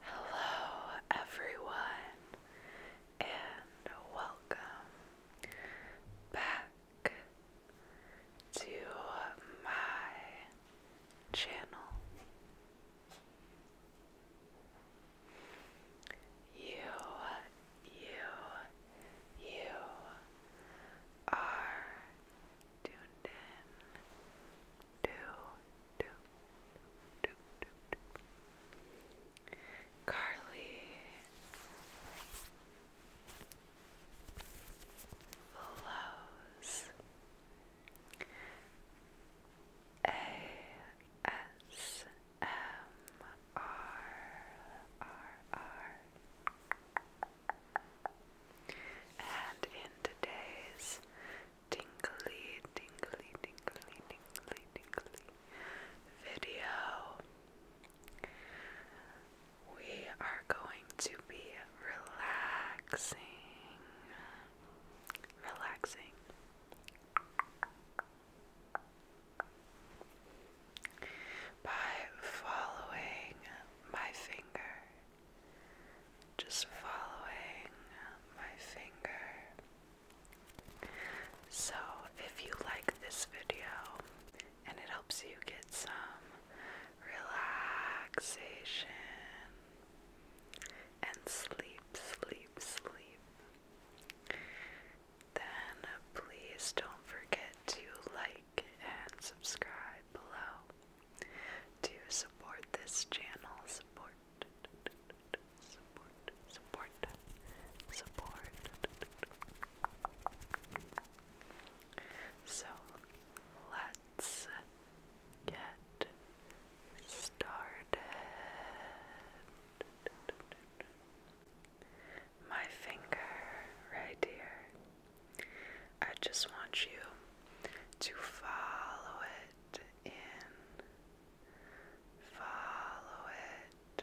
Hello, everyone, and welcome back to my channel. You, you, you are tuned in to, to, to, to, to. Carly flows. A S M R R R. And in today's tingly, tingly, tingly, tingly, tingly video, we are going to be relaxing. Relaxing. By following my finger, just following my finger. So, if you like this video, and it helps you get some relaxation and sleep, sleep, sleep. Then please don't forget to like and subscribe below to support this channel. Support, support, support, support. So let's get started. My finger right here. I just want you to follow it in, follow it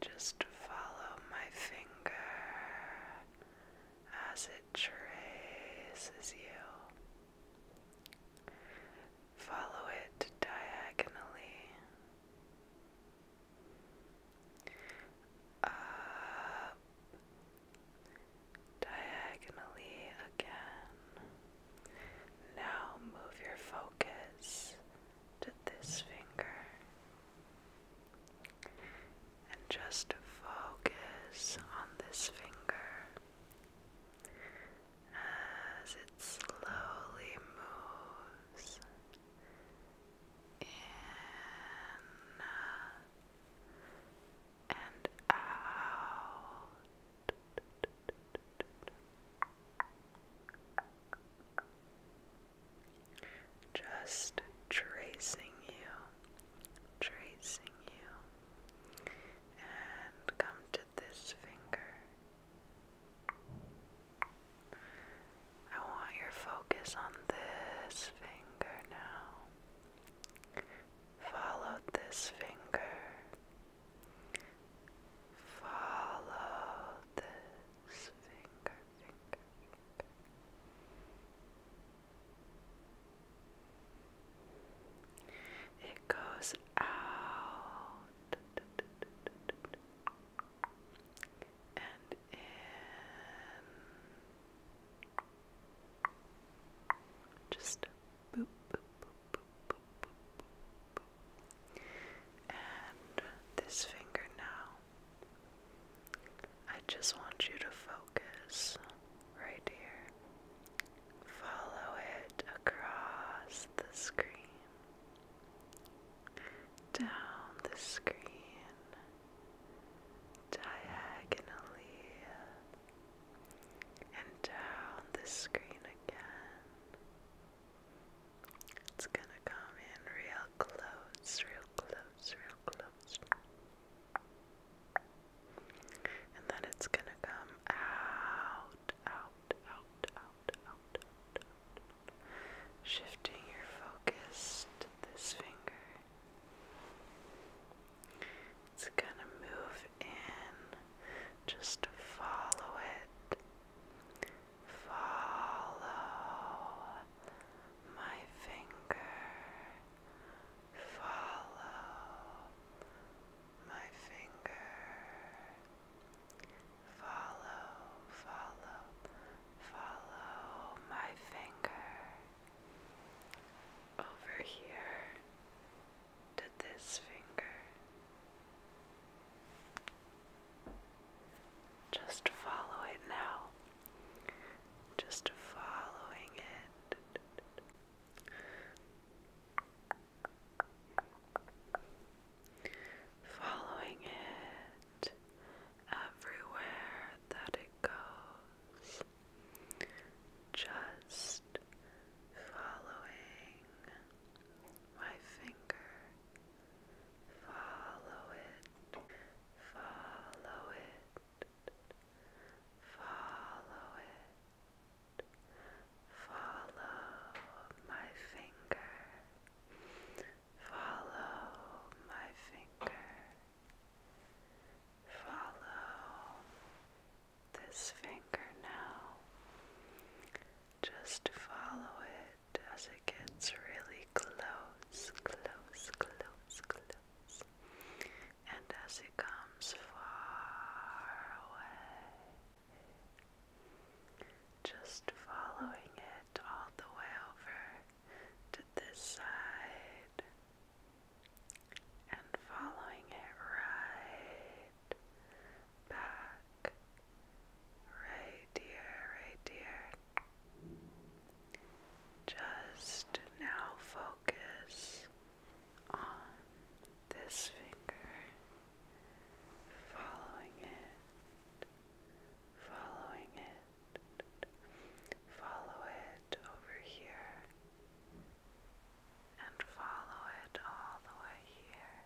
just follow my finger as it traces you. Follow it diagonally up, diagonally again. Now move your focus to this finger. And just focus on this finger as it slowly moves in and out. Just tracing you, tracing you, and come to this finger. I want your focus on this finger now. Follow this finger. Follow this finger, finger, it goes out and in. Just boop, boop, boop, boop, boop, boop, boop, And this finger now I just want you to focus right here. Follow it across the screen, down the screen, diagonally, and down the screen again. It's gonna come in real close, real close, real close. And then it's gonna come out, out, out, out, out, out, Shifting your focus this finger. It's gonna move in. Just follow it. Follow my finger. Follow my finger. Follow, follow, follow my finger. Over here to this finger. Just follow it now. Just following it. Following it everywhere that it goes. Just following my finger Follow it. Follow it. Follow it. Follow my finger. Follow my finger. Follow this finger now. Just follow it as it gets really close, close, close, close. And as it comes far away, just following it all the way over to this side and following it right back right here, right here. Just now focus on this finger, following it, following it, follow it over here, and follow it all the way here.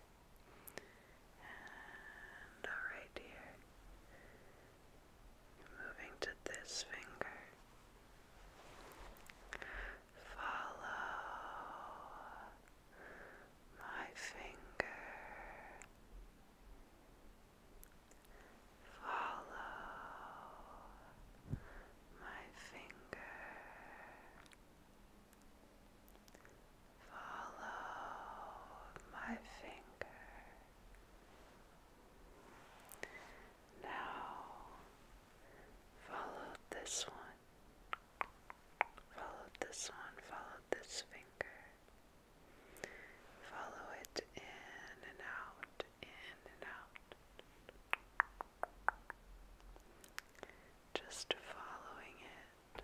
And alright, here. Moving to this finger. Follow my finger. Follow my finger. Follow my finger. Now follow this one. Follow this one. Follow this finger. Follow it in and out, in and out. Just following it.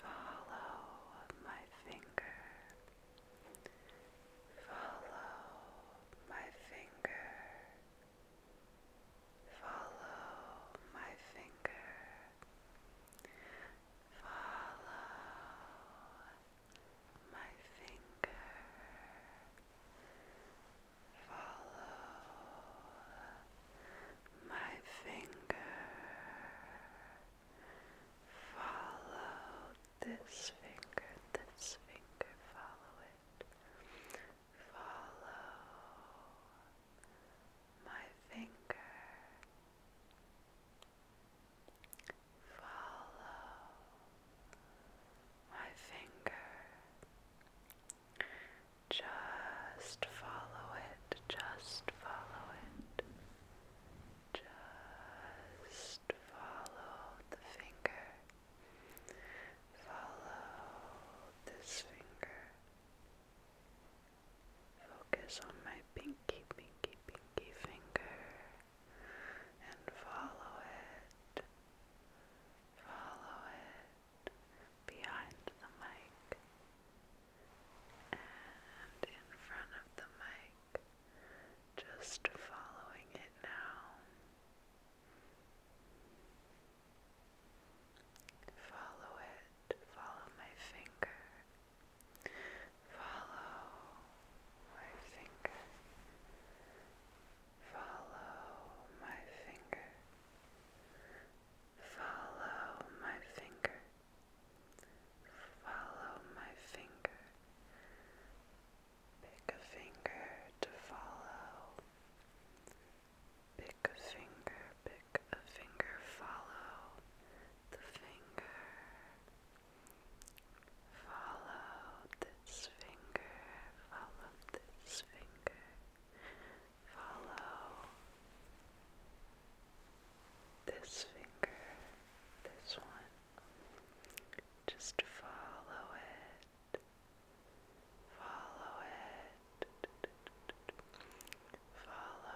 Follow my finger. Follow my finger. Follow my finger. Follow my finger. Follow my finger. Follow this finger, this finger, follow it. Follow my finger. Follow my finger. Just follow it, just follow it. Just follow the finger. Follow this finger. Focus on my pinky, pinky, pinky finger and follow it. Follow it behind the mic and in front of the mic, just following it now. Follow it, follow my finger, follow my finger, follow my finger, Follow my finger. Follow my finger. Pick a finger to follow. Pick a finger, pick a finger, follow the finger. Follow this finger, follow this finger. Follow this finger, this one. Just follow it. Follow it. Follow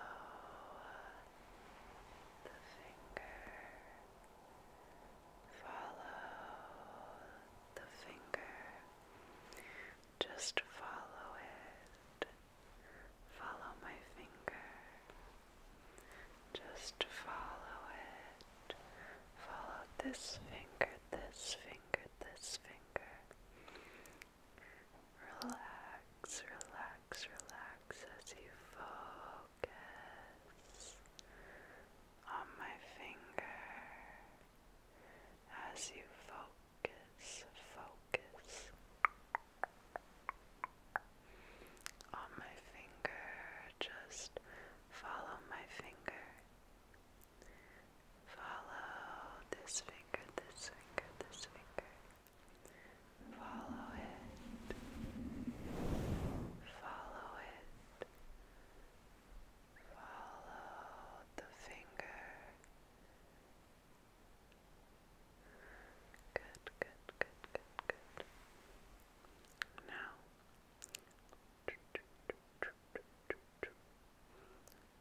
the finger. Follow the finger. Just follow it. Follow my finger. Just follow it. Follow this finger, this finger, this finger. Relax, relax, relax as you focus on my finger as you focus, focus on my finger. Just follow my finger. Follow this finger, this finger, this finger. Follow it. Follow it. Follow the finger. Good, good, good, good, good. Now,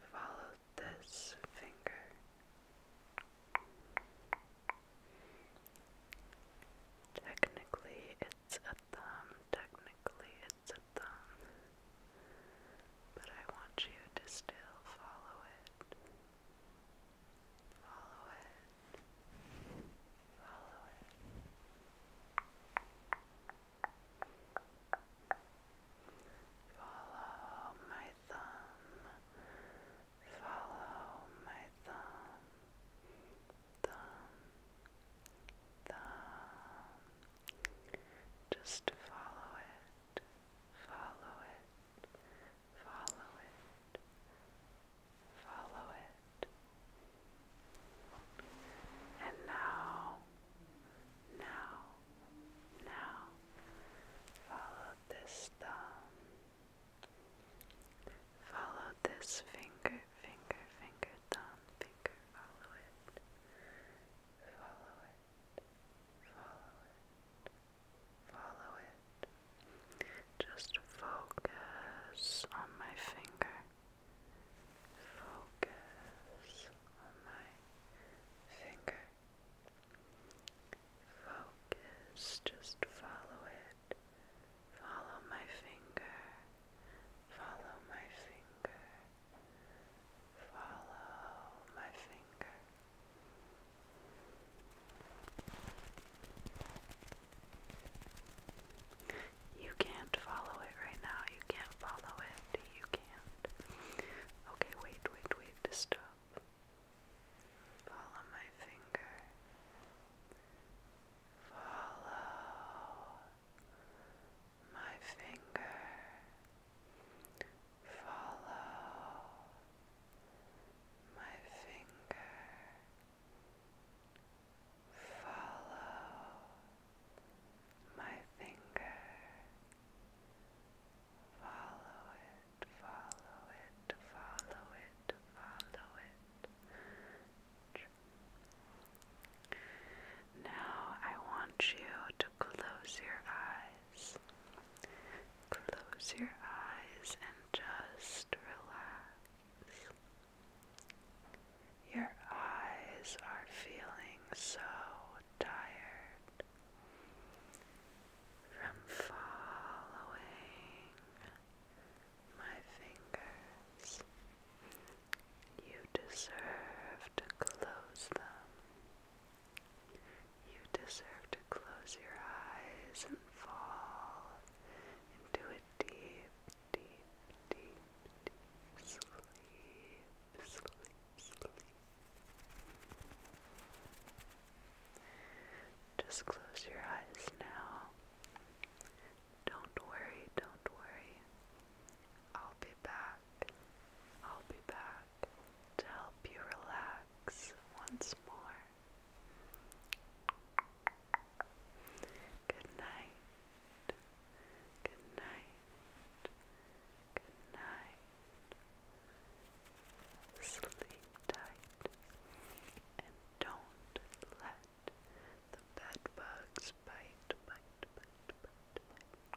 follow this finger. Technically, it's a thumb, technically, hits a thumb, but I want you to still follow it. Follow it. Follow it. Follow my thumb. Follow my thumb. Thumb. Thumb. Just follow it, follow it, follow it, follow it. And now, now, now, follow this thumb. Follow this finger, finger, finger, thumb, finger, follow it, follow it, follow it, follow it. Just focus on my finger, focus on my finger. Focus, just follow it. Follow my finger. Follow my finger. Follow my finger. You can't follow it right now. You can't follow it. You can't. Okay, wait, wait, wait. Stop. Follow my finger. Follow my finger, follow my finger, follow my finger, follow it, follow it, follow it, follow it. Now I want you to close your eyes. Close your eyes and just relax. Your eyes are feeling so tired from following my fingers. You deserve to close them. You deserve to close your eyes and fall into a deep, deep, deep, deep sleep, sleep, sleep. Just close your eyes now. Don't worry, don't worry. I'll be back. I'll be back to help you relax once more. Good night. Good night. Good night. Sleep tight and don't let the bed bugs bite, bite, bite, bite, bite.